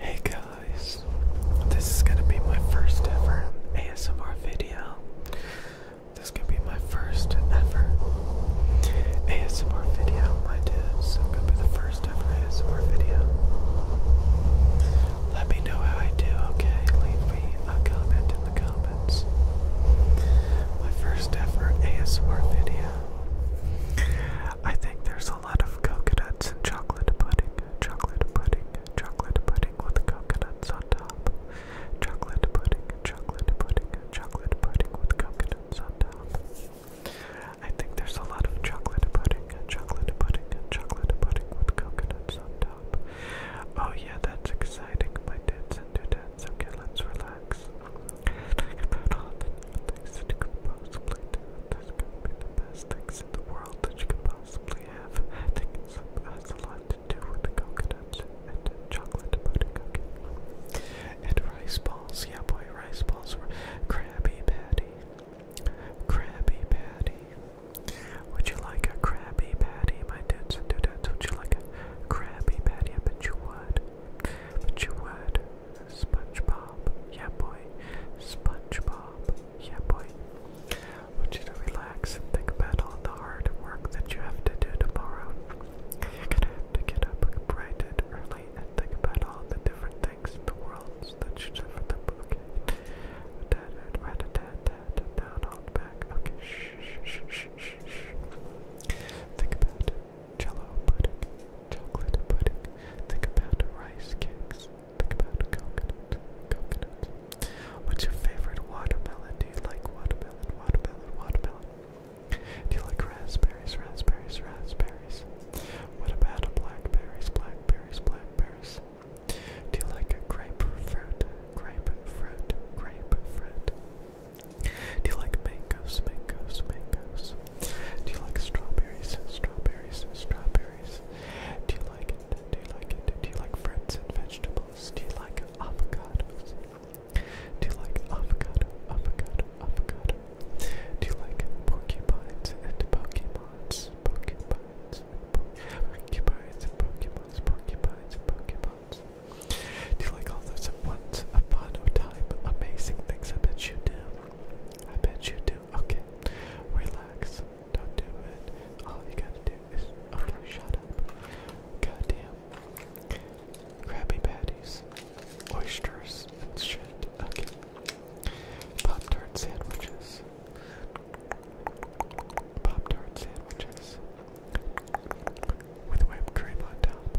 Hey guys, this is gonna be my first ever ASMR video. This could be my first ever ASMR video, my dudes. It's gonna be the first ever ASMR video. Let me know how I do, okay? Leave me a comment in the comments. My first ever ASMR video. I think there's a lot of coconuts and chocolate pudding, chocolate pudding, chocolate pudding with coconuts on top. Chocolate pudding, chocolate pudding, chocolate pudding with coconuts on top. I think there's a lot of chocolate pudding, chocolate pudding, chocolate pudding with coconuts on top. Oh yeah, that's exciting. My dad's into dance. Okay, let's relax things you could possibly do. This could be the best things in the world that you could possibly have. think it has a lot to do with coconuts and chocolate butter cookie. And rice balls, yeah boy, rice balls were Krabby Patty. Krabby Patty. Would you like a Krabby Patty, my dudes and dudettes? Would you like a Krabby Patty? Yeah, but you would. But you would. SpongeBob, yeah boy. SpongeBob, yeah boy. want you to relax and think about all the hard work that you have to do tomorrow. you to get up bright and early and think about all the different things in the world that you do for the book. Down, hold back. Okay, shh, shh, shh, shh, shh. Think about it jello pudding, chocolate pudding. Think about rice cakes. Think about coconut, coconut. What's your favorite watermelon? Do you like watermelon, watermelon, watermelon? Do you like raspberries, raspberries, raspberries? What about blackberries, blackberries, blackberries? Do you like grapefruit, grapefruit, grapefruit? Do you like mangoes, mangoes, mangoes? Do you like strawberries? Strawberries, strawberries. Do you like it? Do you like it? Do you like fruits and vegetables? Do you like avocados? Do you like avocado, avocado, avocado? Do you like porcupines and pokemons? Porcupines, porcupines, Pokémons. porcupines, porcupines. Do you like all those at once upon amazing things? I bet you do. I bet you do. Okay, relax. Don't do it. All you gotta do is. Okay, shut up. Goddamn. Krabby patties, oysters, and shit. Okay. Pop tart sandwiches. Pop tart sandwiches. With whipped cream on top.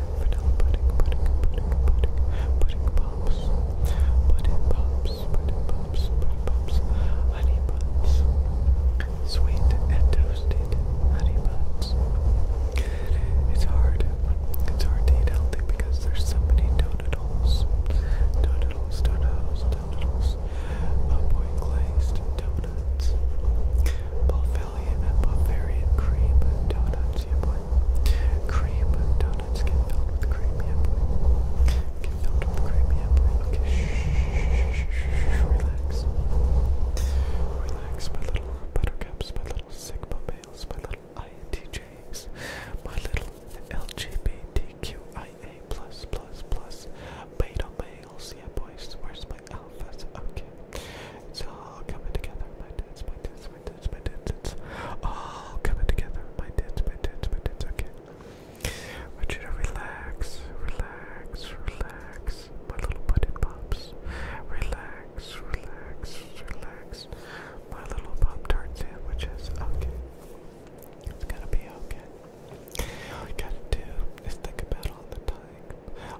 vanilla pudding, pudding, pudding, pudding, pudding pops, pudding pops, pudding pops, pudding pops, honey sweet and toasted honey It's hard. It's hard to eat healthy because there's so many donut holes. Donut holes, donut holes, donut holes. Upward glazed donuts. Bulvarian, Bulvarian cream donuts, boy. Cream donuts get filled with cream, Get filled with cream, yeah boy. shh, relax. Relax, my little buttercups, my little sigma males, my little INTJs, my little LGBTQIA plus plus plus beta males, yeah boys. Where's my alphas? Okay, it's all coming together, my dudes, my dudes tits, my tits, my tits, all coming together. My tits, my tits, my tits, okay. I want you relax, relax, relax, my little puddin pops. Relax, relax, relax, my little pop tart sandwiches, okay. It's gonna be okay. All gotta do is think about all the time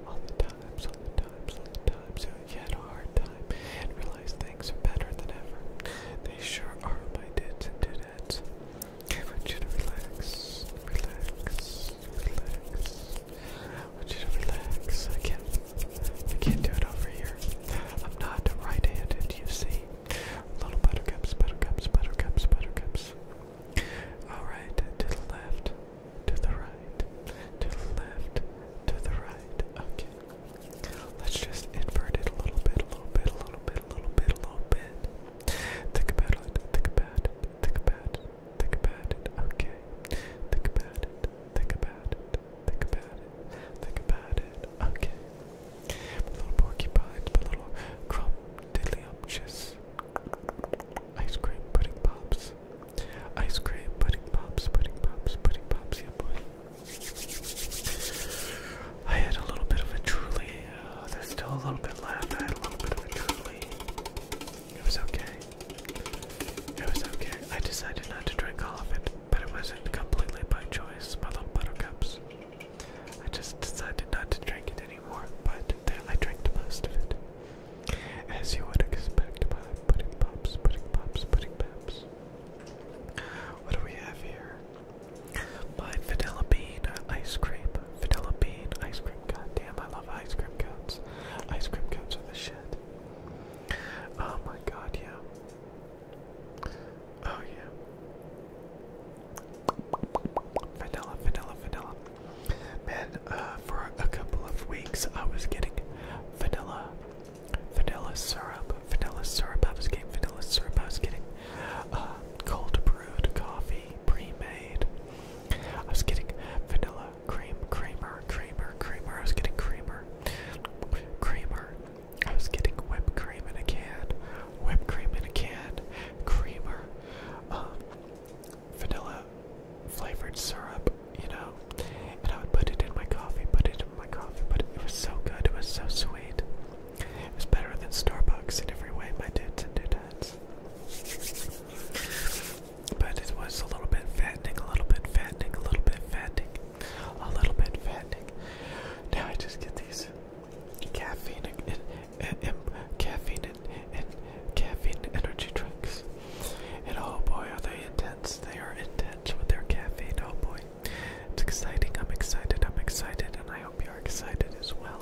all the times, all the times, all the times so you had a hard time and realized things are better than ever. They sure are my dids do that. I want you to relax, relax, relax. I want you to relax. I can't, I can't do it over here. I'm not right-handed, you see. Little buttercups, buttercups, buttercups, buttercups. All right, to the left to the right, to the left, to the right. Okay. Let's just invert it a little bit, a little bit, a little bit, a little bit, a little bit. Think about it, think about it, think about it, think about it. Okay. Think about it, think about it, think about it, think about it. Okay. My little porcupine, my little crop Ice cream pudding pops. Ice cream, pudding pops, pudding pops, pudding pops, yeah boy. I had a little bit of a truly, uh, still a little bit left, I had a little bit of a truly. It was okay. It was okay. I decided not to drink all of it, but it wasn't completely by choice, my little buttercups. I just decided not to drink it anymore, but then I drank most of it. As you would expect by pudding pops, pudding pops, pudding pops. What do we have here? My vanilla bean ice cream. Vanilla bean ice cream God Damn, I love ice cream cones. Ice cream cones are the shit. Oh my god, yeah. Oh yeah. Vanilla, vanilla, vanilla. Man, uh, for a couple of weeks I was getting vanilla, vanilla syrup, vanilla syrup. I was getting vanilla syrup. I was getting uh, cold brewed coffee, pre-made. I was getting vanilla cream, creamer, creamer, creamer. I was getting creamer, creamer. I was getting whipped cream in a can, whipped cream in a can, creamer. Um, vanilla flavored syrup, you know, and I would put it in my coffee, put it in my coffee, but it was so good, it was so sweet. It was better than Starbucks in every way, my dudes and dudettes. But it was a little bit fattening, a little bit fattening, a little bit fattening, a little bit fattening. Now I just get these caffeine, caffeine and, caffeine energy drinks. And oh boy, are they intense! They are intense with their caffeine. Oh boy, it's exciting. I'm excited. I'm excited, and I hope you are excited as well.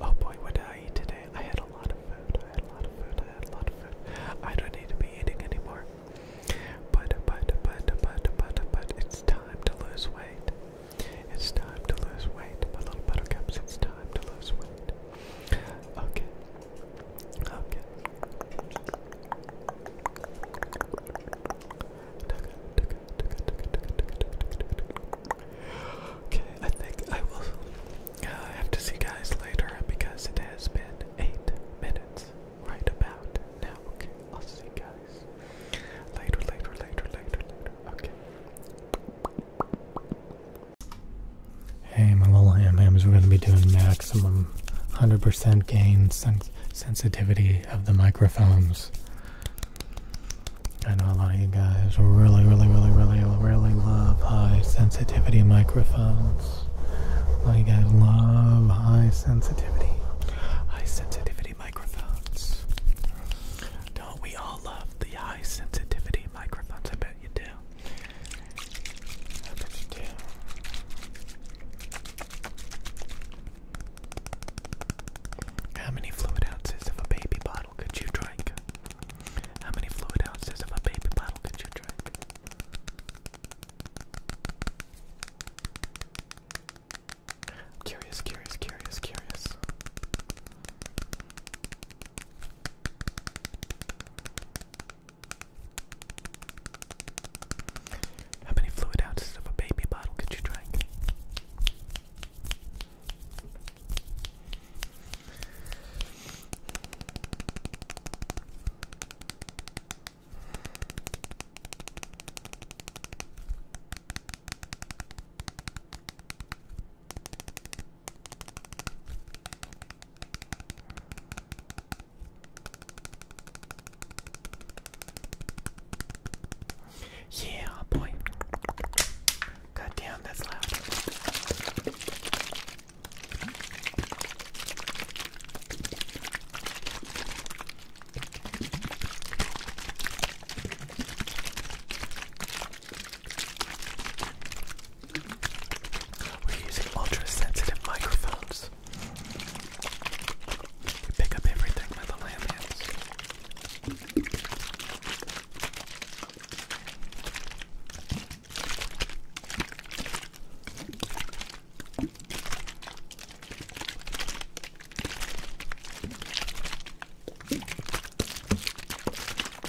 Oh boy, what did I eat today? I had a lot of food. I had a lot of food. I had a lot of food. I don't need to be eating anymore. But but but but but but it's time to lose weight. It's time to lose weight, my little buttercups. It's time to lose weight. Okay. Okay. Okay, I think I will uh, have to see guys later because it has been eight minutes right about now. Okay, I'll see you guys later, later, later, later, later. Okay. Hey, my little ham we're going to be doing maximum 100% gain sensitivity of the microphones. I know a lot of you guys really, really, really, really, really love high sensitivity microphones. A lot of you guys love high sensitivity, high sensitivity microphones. Don't we all love the high sensitivity microphones? I bet you do. How many fluid ounces of a baby bottle could you drink? How many fluid ounces of a baby bottle could you drink? Curious, curious, curious, curious. How many fluid ounces of a baby bottle could you drink? Yeah, boy. God that's loud. We're using ultra sensitive microphones. We pick up everything with the lamb hands.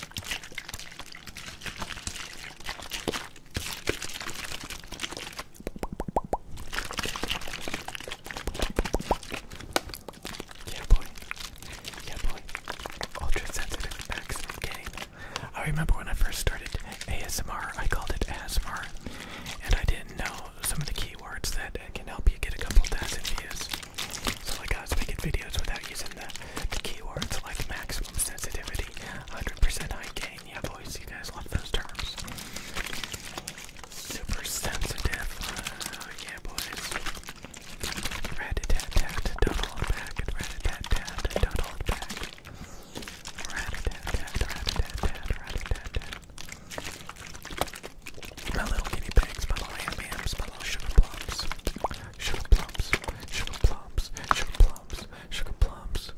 Yeah, boy. Yeah, boy. Ultra sensitive maximum gain. I remember when I first started ASMR, I called it ASMR, and I didn't know some of the keywords that can help you get a couple thousand views. So like I was making videos without using the, keywords like maximum sensitivity, 100% high gain. Yeah, boys, you guys love those terms. Super sensitive. Oh, yeah, boys. Rat a tat tat, don't hold back. Rat a tat tat, don't hold back. Rat a tat my little guinea pigs, my little ham my little sugar plums. Sugar plums, sugar plums, sugar plums, sugar plums.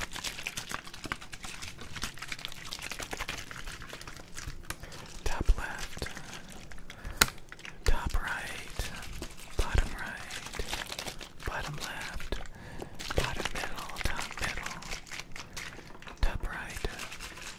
Top left, top right, bottom right, bottom left, bottom middle, top middle, top right,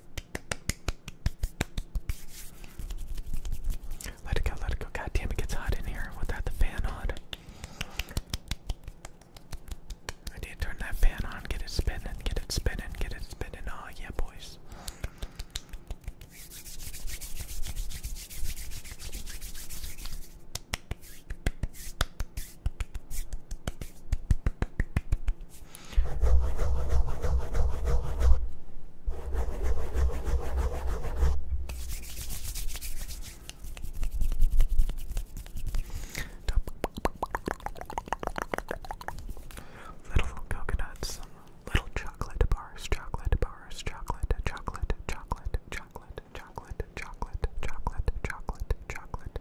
Let it go, let it go. God damn, it gets hot in here without the fan on. I need to turn that fan on, get it spinning, get it spinning, get it spinning. Oh, yeah, boys. Little coconuts, little chocolate bars, chocolate bars, chocolate, chocolate, chocolate, chocolate, chocolate, chocolate, chocolate, chocolate,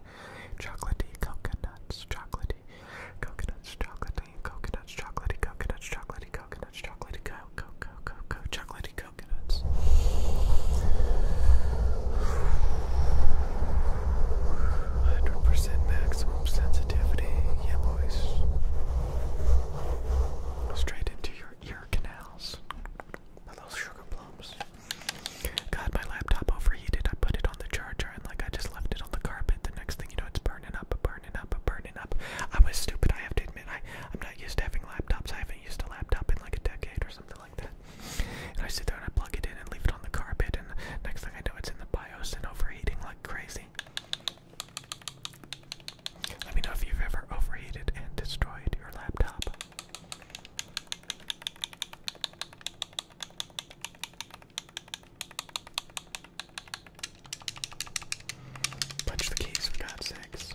chocolatey coconuts, chocolatey Coconuts, chocolatey, coconuts, chocolatey, coconuts, chocolatey, coconuts, chocolatey, co co co co chocolatey coconuts. Hundred percent maximum sensitivity, yeah boys. Straight into your ear canals. My little sugar plums. Got my laptop overheated. I put it on the charger and like I just left it on the carpet. The next thing you know, it's burning up, burning up, burning up. I was stupid. I have to admit, I I'm not used to having laptops. I haven't used a laptop in like a decade or something like that. And I sit there and I plug it in and leave it on the carpet, and next thing I know, it's in the BIOS and overheating like crazy. Let me know if you've ever overheated and destroyed your laptop. Punch the keys for God's sakes.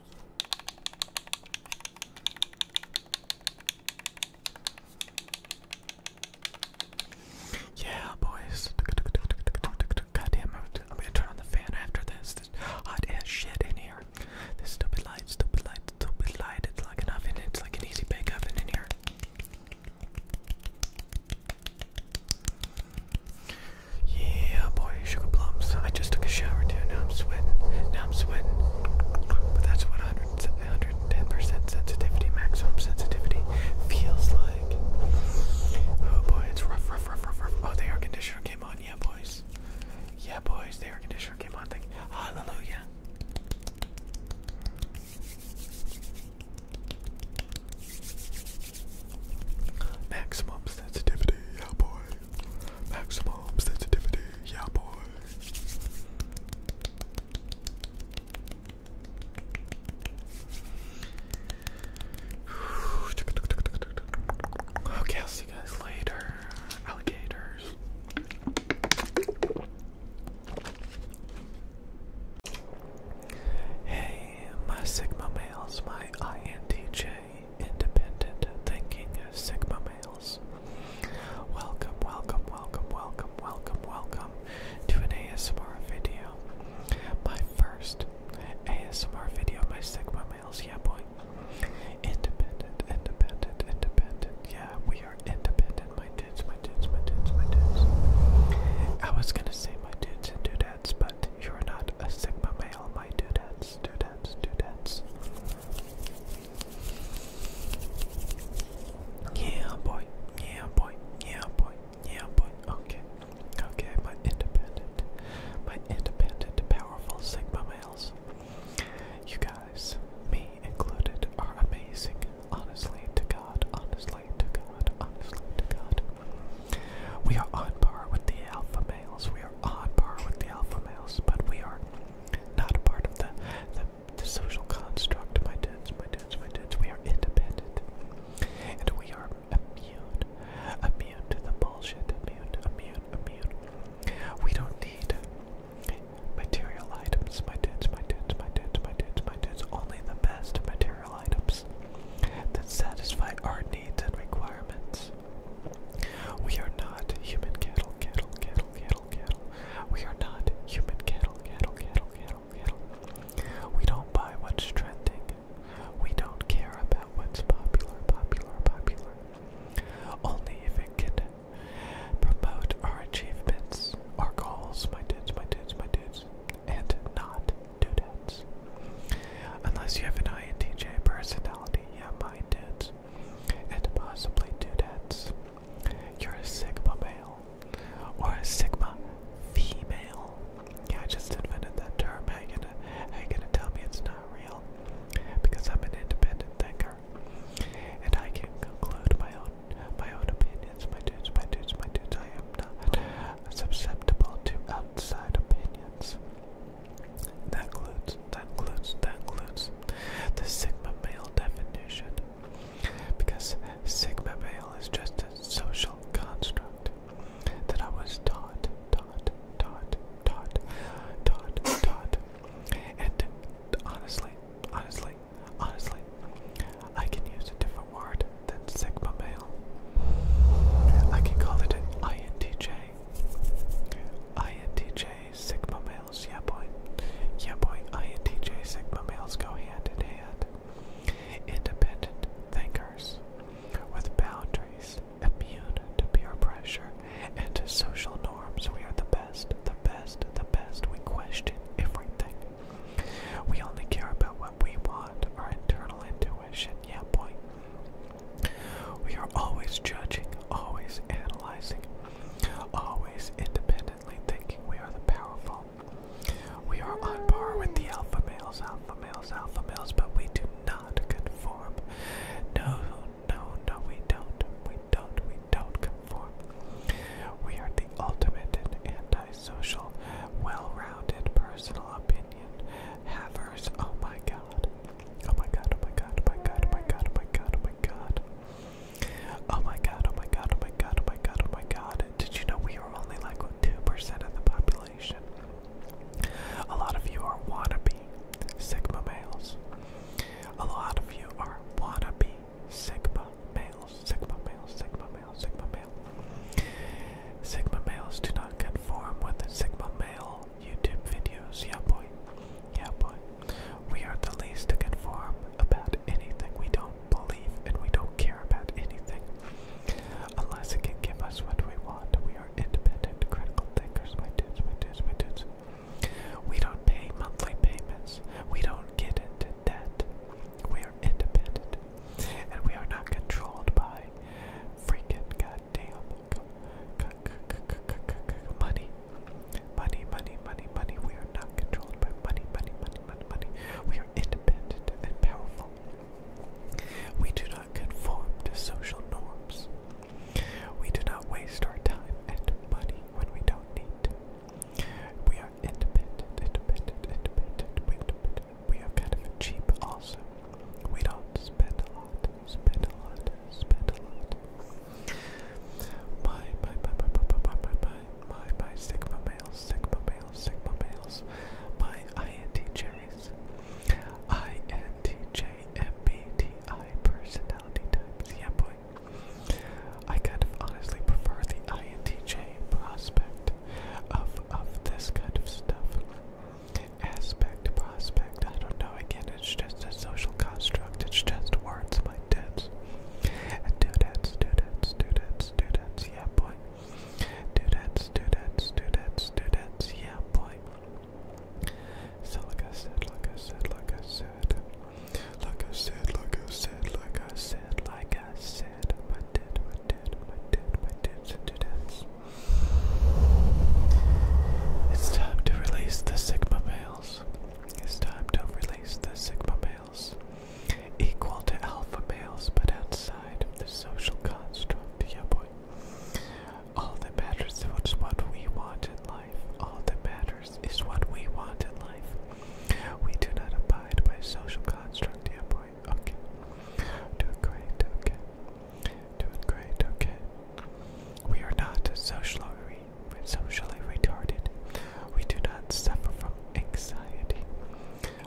Yeah, boys. Goddamn, I'm gonna turn on the fan after this. hot ass shit in here. This stupid light, stupid light, stupid light. It's like an oven. It's like an easy bake oven in here. Yeah, boy, sugar plums. I just took a shower too. Now I'm sweating. Now I'm sweating. But that's what 110% sensitivity, maximum sensitivity, feels like. Oh boy, it's rough, rough, rough, rough, rough. Oh, the air conditioner came on. Yeah, boys. Yeah, boys, the air conditioner came on. Hallelujah. Maximum sensitivity, yeah boy. Maximum sensitivity, yeah boy. Okay, I'll see you guys later, alligators. Hey, my Sigma males, my INTJ independent thinking Sigma males. Welcome, welcome, welcome, welcome, welcome, welcome to an ASMR video. My first ASMR video, my Sigma males, yeah boy. Independent, independent, independent, yeah, we are independent, my dudes, my dudes, my dudes, my dudes. I was gonna say my dudes and dudettes, but you're not a Sigma male, my dudes, dudettes, dudettes. Yeah, boy, yeah, boy, yeah, boy, yeah, boy. Okay, okay, my independent, my independent, powerful Sigma males. You guys, me included, are amazing. Honestly to God, honestly to God, honestly to God. We are on par with the alpha males. We are on par with the alpha males, but we are not a part of the the, the social construct. My dudes, my dudes, my dudes. We are independent, and we are immune, immune to the bullshit. Immune, immune, immune. We don't need material items. My dudes, my dudes, my dudes, my dudes, my dudes. Only the best material items that satisfy our needs and requirements. We are not human cattle, cattle, cattle, cattle, cattle. We are not human cattle, cattle, cattle, cattle, cattle. We don't buy what's trending. We don't care about what's popular, popular, popular. Only if it can promote our achievements, our goals, my dudes, my dudes, my dudes, and not dudettes. Unless you have an INTJ personality, yeah, mine did. And possibly dudettes. You're a Sigma male. Or a Sigma female. Yeah, I just invented that term. How you gonna, how you gonna tell me it's not real? Because I'm an independent thinker. And I can conclude my own my own opinions, my dudes, my dudes, my dudes. I am not susceptible to outside opinions. That includes, that includes, that includes the sigma male definition. Because sigma male is just a social construct that I was taught, taught, taught, taught, taught, taught. And honestly, honestly, honestly, I can use it to different word than sigma male. I can call it INTJ. INTJ sigma males, yeah boy. Yeah boy, INTJ sigma males go hand in hand. Independent thinkers with boundaries, immune to peer pressure and to social norms. We are the best, the best, the best. We question everything. We only care about what we want our internal intuition. Yeah, boy. We are always judging, always analyzing, always independently thinking we are the powerful. We are on par with the alpha males, alpha males, alpha males, but we do not conform. No, no, no, we don't. We don't, we don't conform. We are the ultimate in social, well rounded personal opinion havers. Oh my god. Oh my god, oh my god, oh my god, oh my god, oh my god, oh my god. Oh my god, oh my god, oh my god, oh my god, oh my god. Did you know we are only like 2% of the population? A lot of you are wannabe Sigma males. A lot of you are wannabe Sigma males sigma males, sigma males, sigma male. Sigma males do not conform with sigma male YouTube videos. Yeah, boy. Yeah, boy. We are the least to conform about anything. We don't believe and we don't care about anything. Unless it can give us what we want. We are independent, critical thinkers, my dudes, my dudes, my dudes. We don't pay monthly payments. We don't get into that we are independent and we are not controlled by freaking goddamn money. Money, money, money, money. We are not controlled by money, money, money, money, money. We are independent and powerful. We do not conform to social norms. We do not waste our time and money when we don't need it. We are independent, independent, independent, independent, we are kind of cheap also. We don't spend a lot, spend a lot, spend a lot. My, my, my, my, my, my, my, my, my, my Sigma males, Sigma males, Sigma males, my INTJs, INTJMBTI personality types, yeah boy. I kind of honestly prefer the INTJ prospect of of this kind of stuff. Aspect, prospect, I don't know. Again, it's just a social construct. It's just words like this. Students, students, students, students, yeah, boy. Students, students, students, students, yeah, boy. So, like I said, like I said, like I said, like I said, like I said, like I said, like it's time to release the Sigma males. It's time to release the Sigma males. Equal to alpha males, but outside of the social construct, yeah boy. All that matters is what we want in life. All that matters is what we want in life. We do not abide by social construct, yeah boy. Okay. Doing great. Okay. Doing great. Okay. We are not socially, re socially retarded. We do not suffer from anxiety.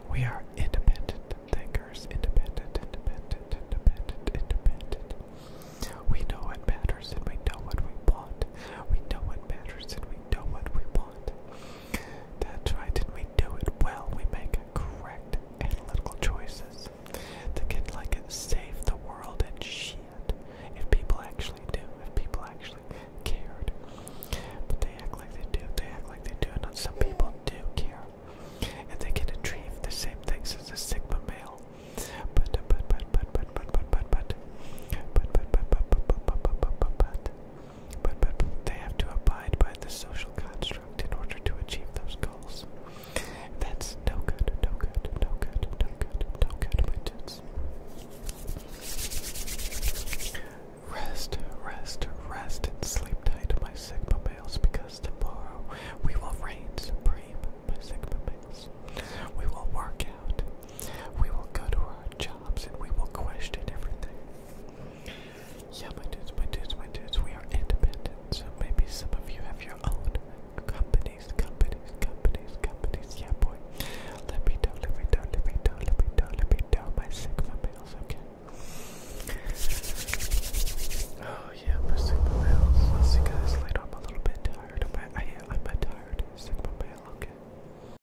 We are independent thinkers. Independent, independent, independent, independent. We know what matters and we know what we want. We know what matters and we know what we want. That's why and we do it well. We make correct analytical choices. The kids like it, save the world and shit. If people actually do, if people actually cared. But they act like they do, they act like they do, and some people do care. And they can achieve the same things as a Sigma male. But, but, but, but, but, but, but, but, but, but, but, but, but, but, but, but, but, but, but, but, but they have to abide by the social construct in order to achieve those goals. That's no good, no good, no good, no good, no good, my dudes. Rest, rest, rest, and sleep tight, my Sigma males, because tomorrow we will reign supreme, my Sigma males. We will work out we will go to our jobs and we will question everything. Yeah, my dudes, my dudes, my dudes, we are independent. So maybe some of you have your own companies, companies, companies, companies. Yeah, boy. Let me know, let me know, let me know, let me know, let me know my Sigma males, okay? Oh, yeah, my Sigma males. Let's see, guys, later. a little bit tired. I'm, I, am a tired. Sigma male, okay?